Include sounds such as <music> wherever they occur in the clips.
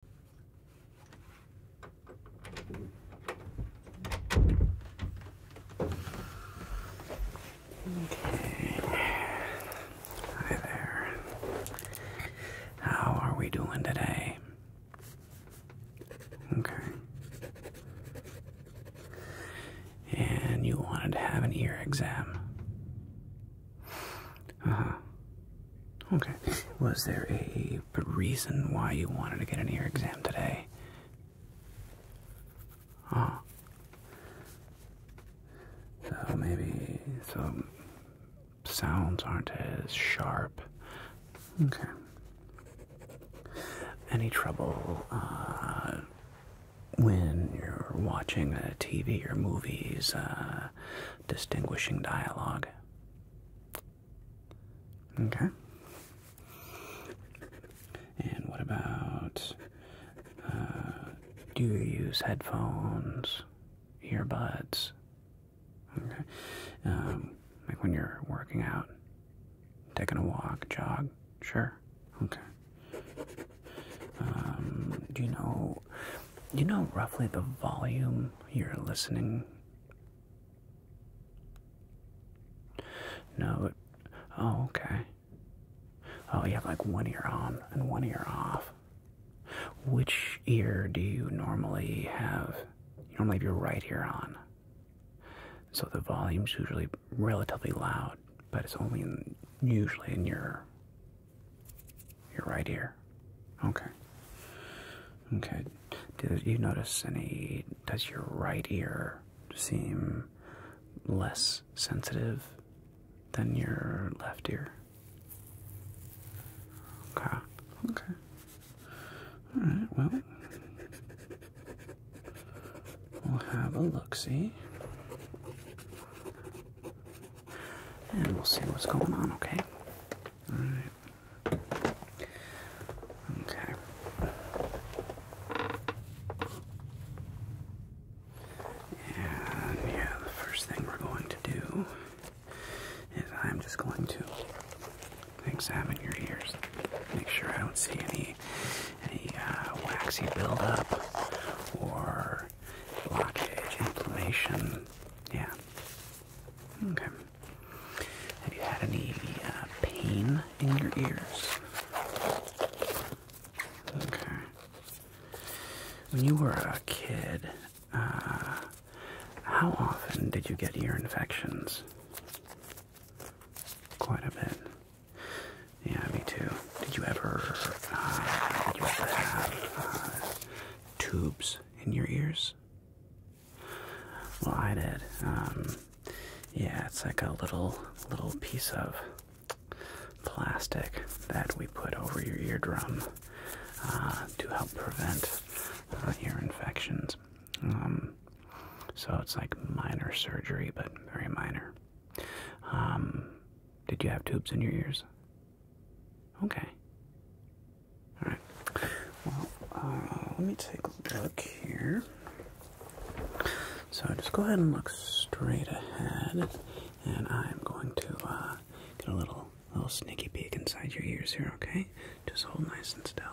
Hi there. How are we doing today? Okay. And you wanted to have an ear exam. Uh huh. Okay. Was there a reason why you wanted to get an ear exam today? Ah. So maybe some sounds aren't as sharp. Okay. Any trouble uh, when you're watching a TV or movies, uh, distinguishing dialogue? Okay. And what about uh, do you use headphones, earbuds? Okay. Um, like when you're working out, taking a walk, jog? Sure. Okay. Um, do you know you know roughly the volume you're listening? No. oh, okay. Oh, you have like one ear on and one ear off. Which ear do you normally have? You normally have your right ear on. So the volume's usually relatively loud, but it's only usually in your your right ear. Okay. Okay. do you notice any? Does your right ear seem less sensitive than your left ear? Okay. Okay. All right. Well, we'll have a look. See and we'll see what's going on, okay? Alright. Okay. And yeah, the first thing we're going to do is I'm just going to examine your ears. Make sure I don't see any any uh, waxy buildup or blockage, inflammation. Yeah. Okay. Have you had any uh, pain in your ears? Okay. When you were a kid, uh, how often did you get ear infections? Quite a bit. Yeah, me too. Did you ever, uh, uh, tubes in your ears? Well, I did. Um, yeah, it's like a little little piece of plastic that we put over your eardrum uh, to help prevent uh, ear infections. Um, so it's like minor surgery, but very minor. Um, did you have tubes in your ears? Okay. All right. Well, uh, let me take a look here. So just go ahead and look straight ahead, and I'm going to uh, get a little little sneaky peek inside your ears here. Okay. Just hold nice and still.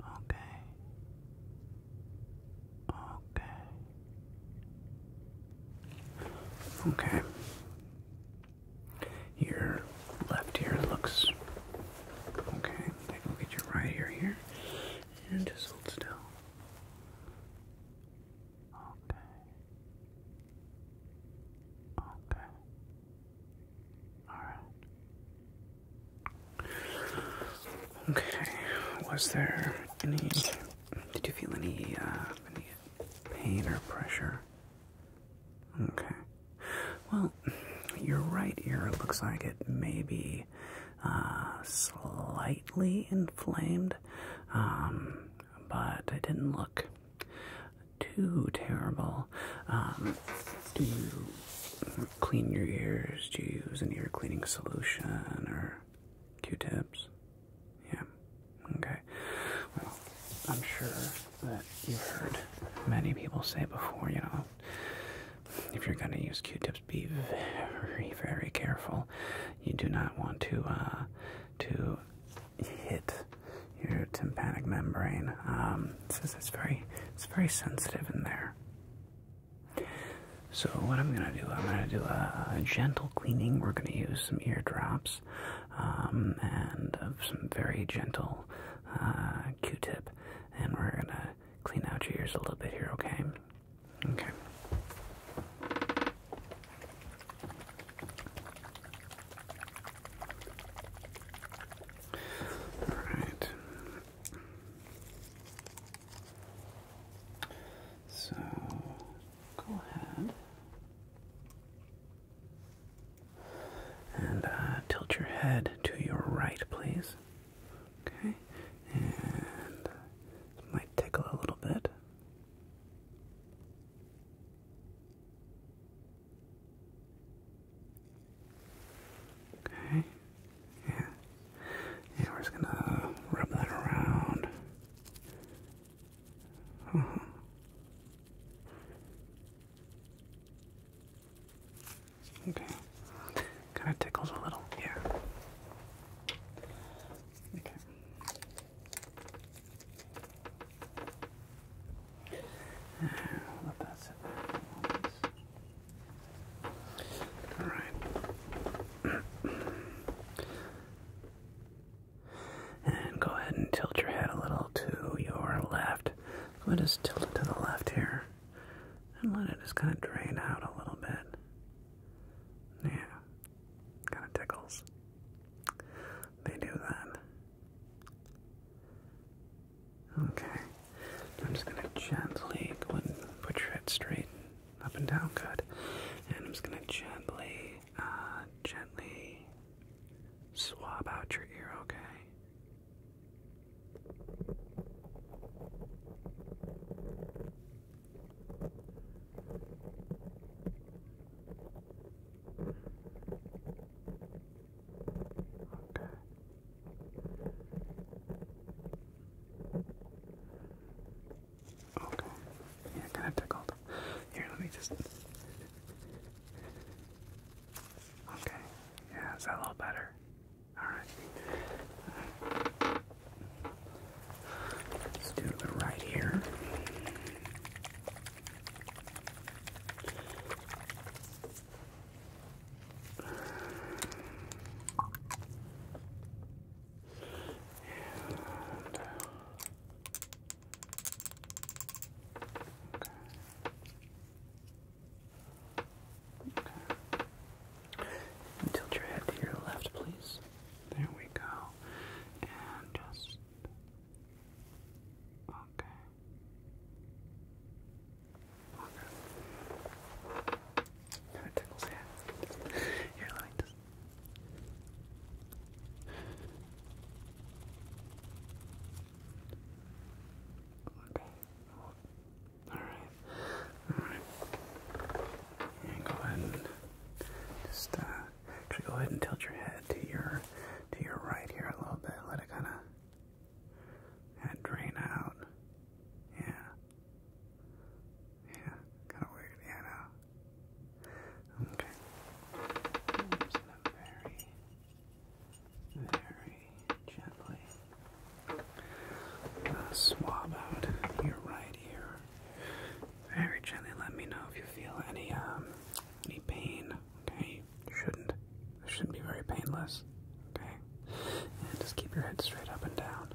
Okay. Okay. Okay. Your left ear looks okay. Take a look your right ear here. And just hold still. Okay. Okay. Alright. Okay. Was there any did you feel any uh, pain or pressure. Okay. Well, your right ear looks like it may be uh, slightly inflamed, um, but it didn't look too terrible. Um, do you clean your ears? Do you use an ear cleaning solution or Q-tips? Yeah. Okay. Well, I'm sure that you've heard many people say before, you know, if you're going to use Q-tips, be very, very careful. You do not want to, uh, to hit your tympanic membrane. Um, it's, it's very, it's very sensitive in there. So what I'm gonna do, I'm gonna do a, gentle cleaning. We're gonna use some eardrops um, and uh, some very gentle uh, Q-tip, and we're gonna clean out your ears a little bit here. Okay. Okay. All right. So go ahead and uh, tilt your head to your right, please. Okay, and might tickle a little bit. Okay, yeah, yeah, we're just gonna rub that around. Mm-hmm. Okay. Kind of tickles a little here. Okay. Uh, let that sit there. All right. <clears throat> And go ahead and tilt your head a little to your left. Go ahead just tilt it to the left here. And let it just kind of drain out a little bit. Yeah. Kind of tickles. They do that. Okay. I'm just going to gently put your head straight. Up and down, good. And I'm just gonna gently, uh, gently swab out your ear, okay? Okay. Okay. Yeah, kind of tickled. Here, let me just. Okay. Yeah, is that a little better? Alright. right. Let's do the right ear. Uh, tilt your head to your left, please. There we go. And just okay. Okay. Kind Here, let me Okay. Alright. Alright. And go ahead and just uh, actually go ahead and tilt your head to your to your right here a little bit. Let it kinda, kinda drain out. Yeah. Yeah, kind of weird. Yeah, I Okay. very, very gently uh, swab out your right ear. Very gently. Let me know if you feel any um any pain. Okay, shouldn't. shouldn't be very painless. Okay, and just keep your head straight up and down.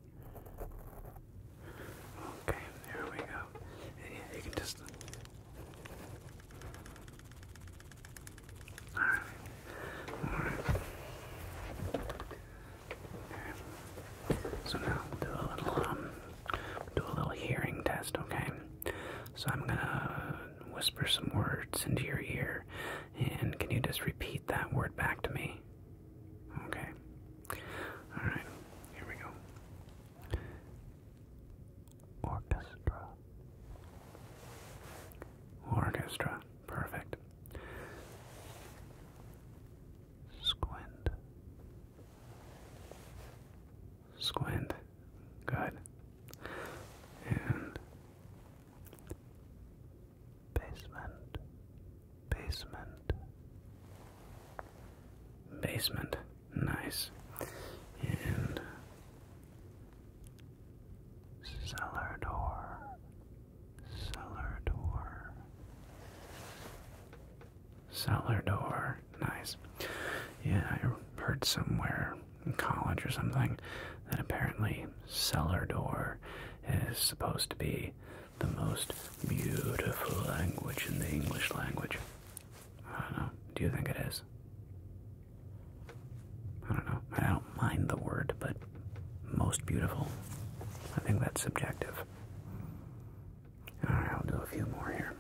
Okay, here we go. yeah, you can just. Alright. Alright. Okay. So now we'll do a little um do a little hearing test, okay? So I'm gonna whisper some words into your ear and can you just repeat that word back to me? Okay. Alright, here we go. Orchestra. Orchestra. Perfect. Squint. Squint. Good. And basement. Basement. Basement. Nice. And cellar door. Cellar door. Cellar door. Nice. Yeah, I heard somewhere in college or something that apparently cellar door is supposed to be the most beautiful language in the English language? I don't know. Do you think it is? I don't know. I don't mind the word, but most beautiful. I think that's subjective. Alright, I'll do a few more here.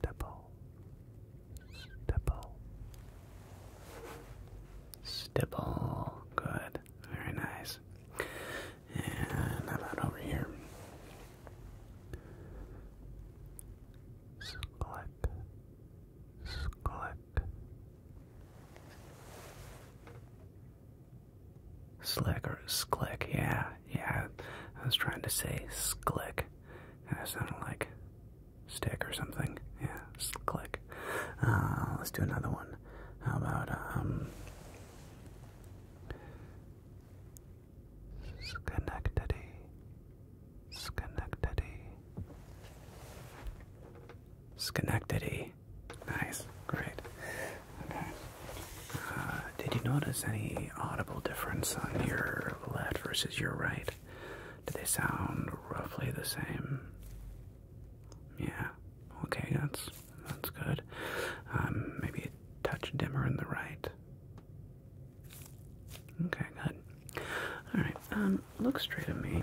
Stipple, Stipple. Stipple. Good. Very nice. And about over here? Skullet. Slick or sklick, yeah, yeah. I was trying to say sklick, and it sounded like stick or something. Yeah, click. Uh, let's do another one. How about um, Schenectady, Schenectady, Schenectady. Nice, great. Okay. Uh, did you notice any audible difference on your left versus your right? do they sound roughly the same? Yeah. Okay, that's that's good. Um, maybe a touch dimmer in the right. Okay, good. All right. Um, look straight at me.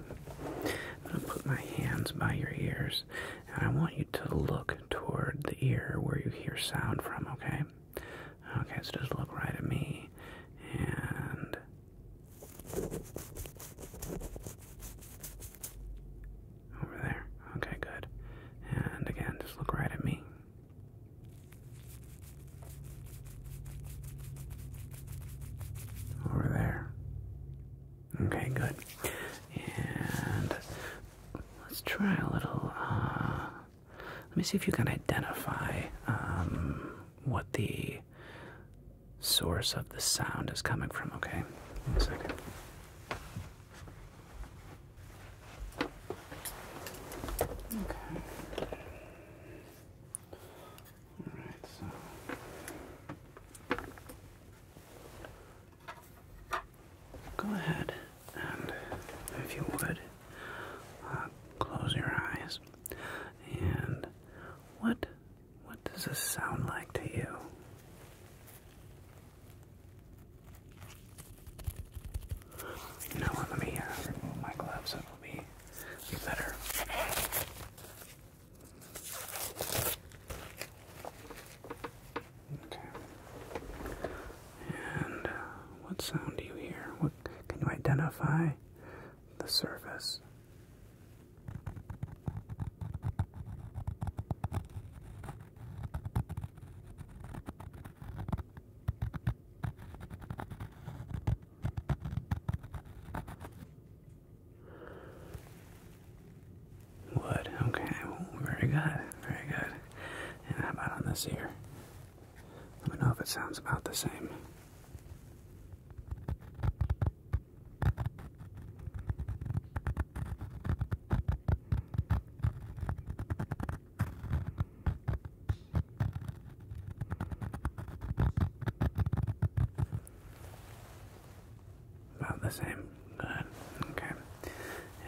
I'm gonna put my hands by your ears, and I want you to look toward the ear where you hear sound from. Okay. Okay, so just look right at me, and over there. Okay, good. And again, just look right at me. Over there. Okay, good. And let's try a little. Uh, let me see if you can identify um, what the source of the sound is coming from, okay? One second. Okay. All right, so. Go ahead and, if you would, uh, close your eyes. And what what does this sound like to you? You Let me uh, remove my gloves. It will be better. Okay. And uh, what sound do you hear? What can you identify the surface. Wood, okay, very good, very good. And how about on this ear? Let me know if it sounds about the same. About the same. Good. Okay.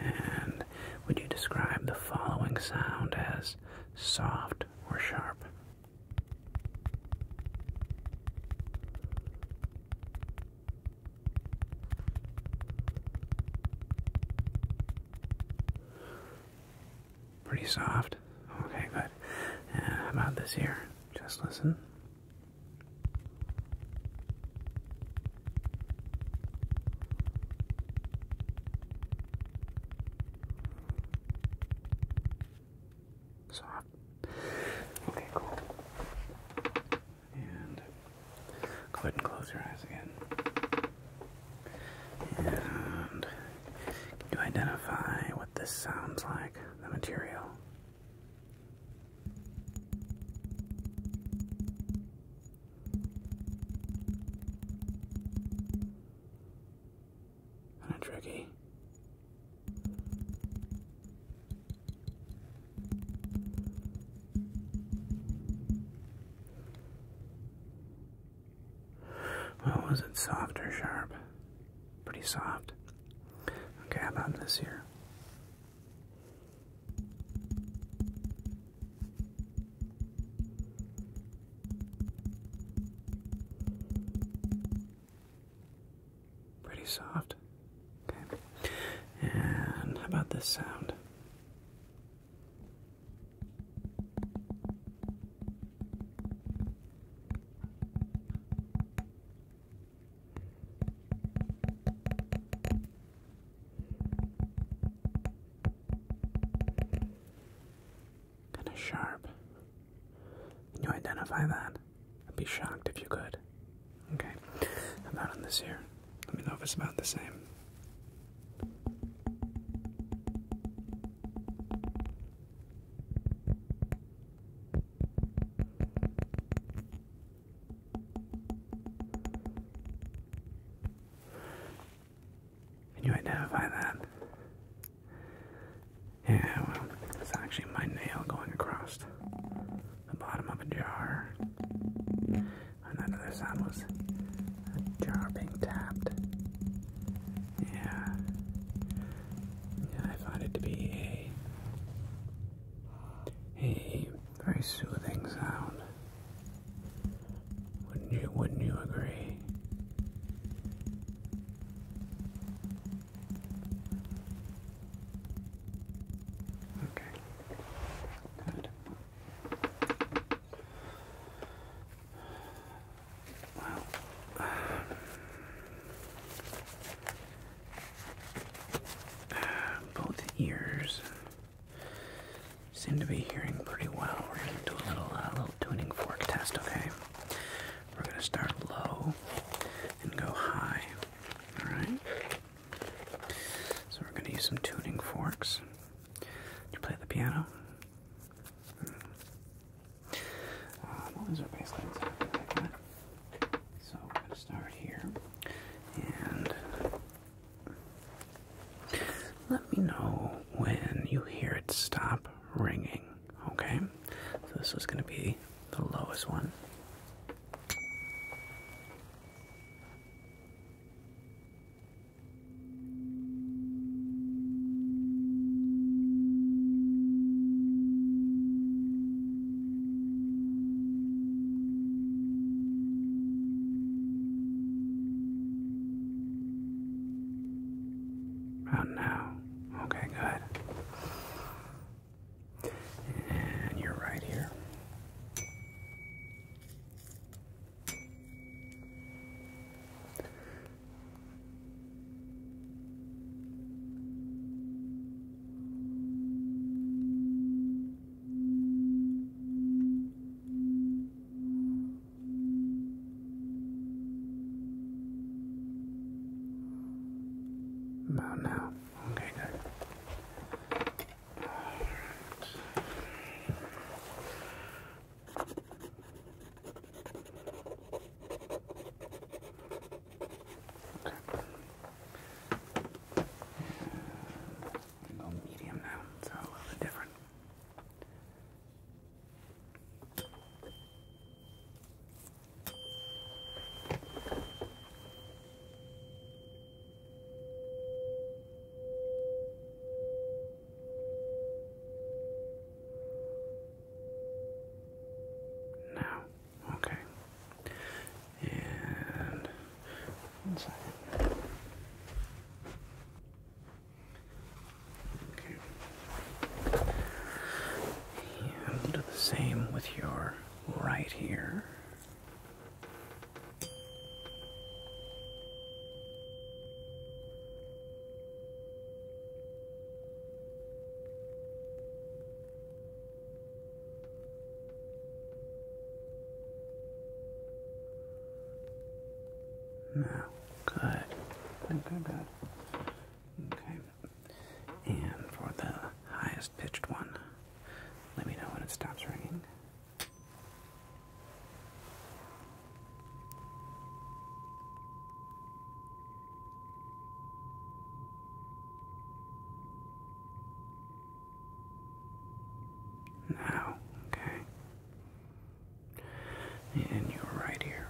And would you describe the following sound as soft, we're sharp? Pretty soft. Okay, good. Uh, how about this here? Just listen. Soft. Okay, cool. And go ahead and close your eyes again. And you identify what this sounds like, the material? Kind of tricky. Well, was it soft or sharp? Pretty soft. Okay, how about this here? Pretty soft. Okay. And about this sound? kind of sharp. Can you identify that? I'd be shocked if you could. Okay, how about on this here? Let me know if it's about the same. Can you identify that? Yeah, well, it's actually my nail going across the bottom of a jar. And that other sound was a jar being tapped. Yeah. I found it to be a, a very soothing sound. Wouldn't you, wouldn't you agree? Okay. Good. Well, both ears Seem to be hearing pretty well. We're gonna do a little, uh, little tuning fork test, okay? We're gonna start low and go high. All right. So we're gonna use some tuning forks. Do you play the piano? Uh, so we're gonna start here and let me know when you hear it stop ringing, okay? So this was going to be the lowest one. About now. Okay, good. And you're right here. About now. Okay, good. All right. Okay. go medium now, so a little bit different. No. Okay. And one second. Okay. And the same with your right ear. No. Good. Good, good, Okay. And for the highest pitched one, let me know when it stops ringing. Now, okay. And you're right here.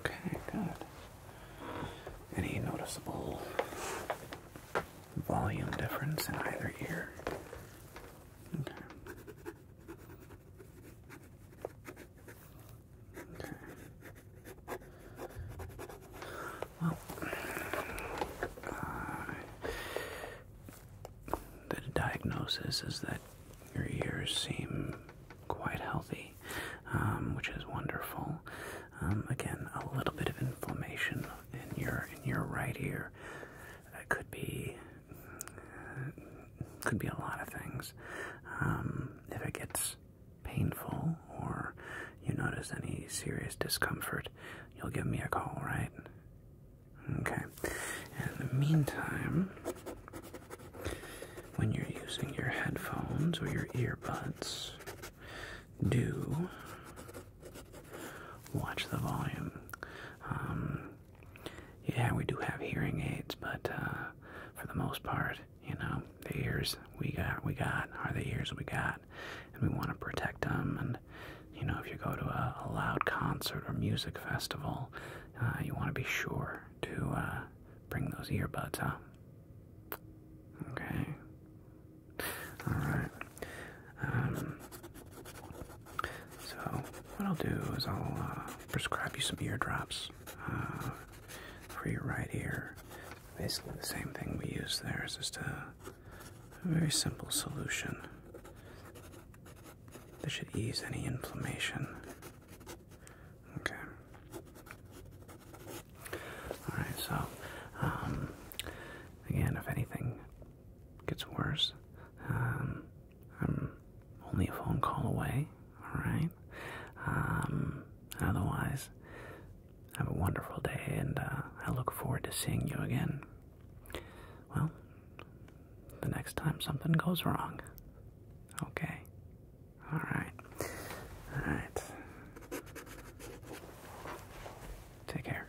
Okay, good. Any noticeable volume difference in either ear. Okay. Okay. Well, uh, the diagnosis is that your ears seem quite healthy, um, which is wonderful. Um, again, a little bit of inflammation in your in your right ear. that could be could be a lot of things. Um, if it gets painful or you notice any serious discomfort, you'll give me a call, right? Okay. In the meantime, when you're using your headphones or your earbuds, do watch the volume. Um, yeah, we do have hearing aids, but uh, for the most part, you know, the ears we got, we got are the ears we got, and we want to protect them. And you know, if you go to a, loud concert or music festival, uh, you want to be sure to uh, bring those earbuds, huh? Okay. Alright. Um, so, what I'll do is I'll uh, prescribe you some eardrops uh, for your right ear. Basically, the same thing we use there is just a, a very simple solution that should ease any inflammation. Okay. Alright, so, um, again, if anything gets worse, um, I'm only a phone call away, alright? Um, otherwise, have a wonderful day, and uh, I look forward to seeing you again. Well, the next time something goes wrong. Okay. All right. All right. Take care.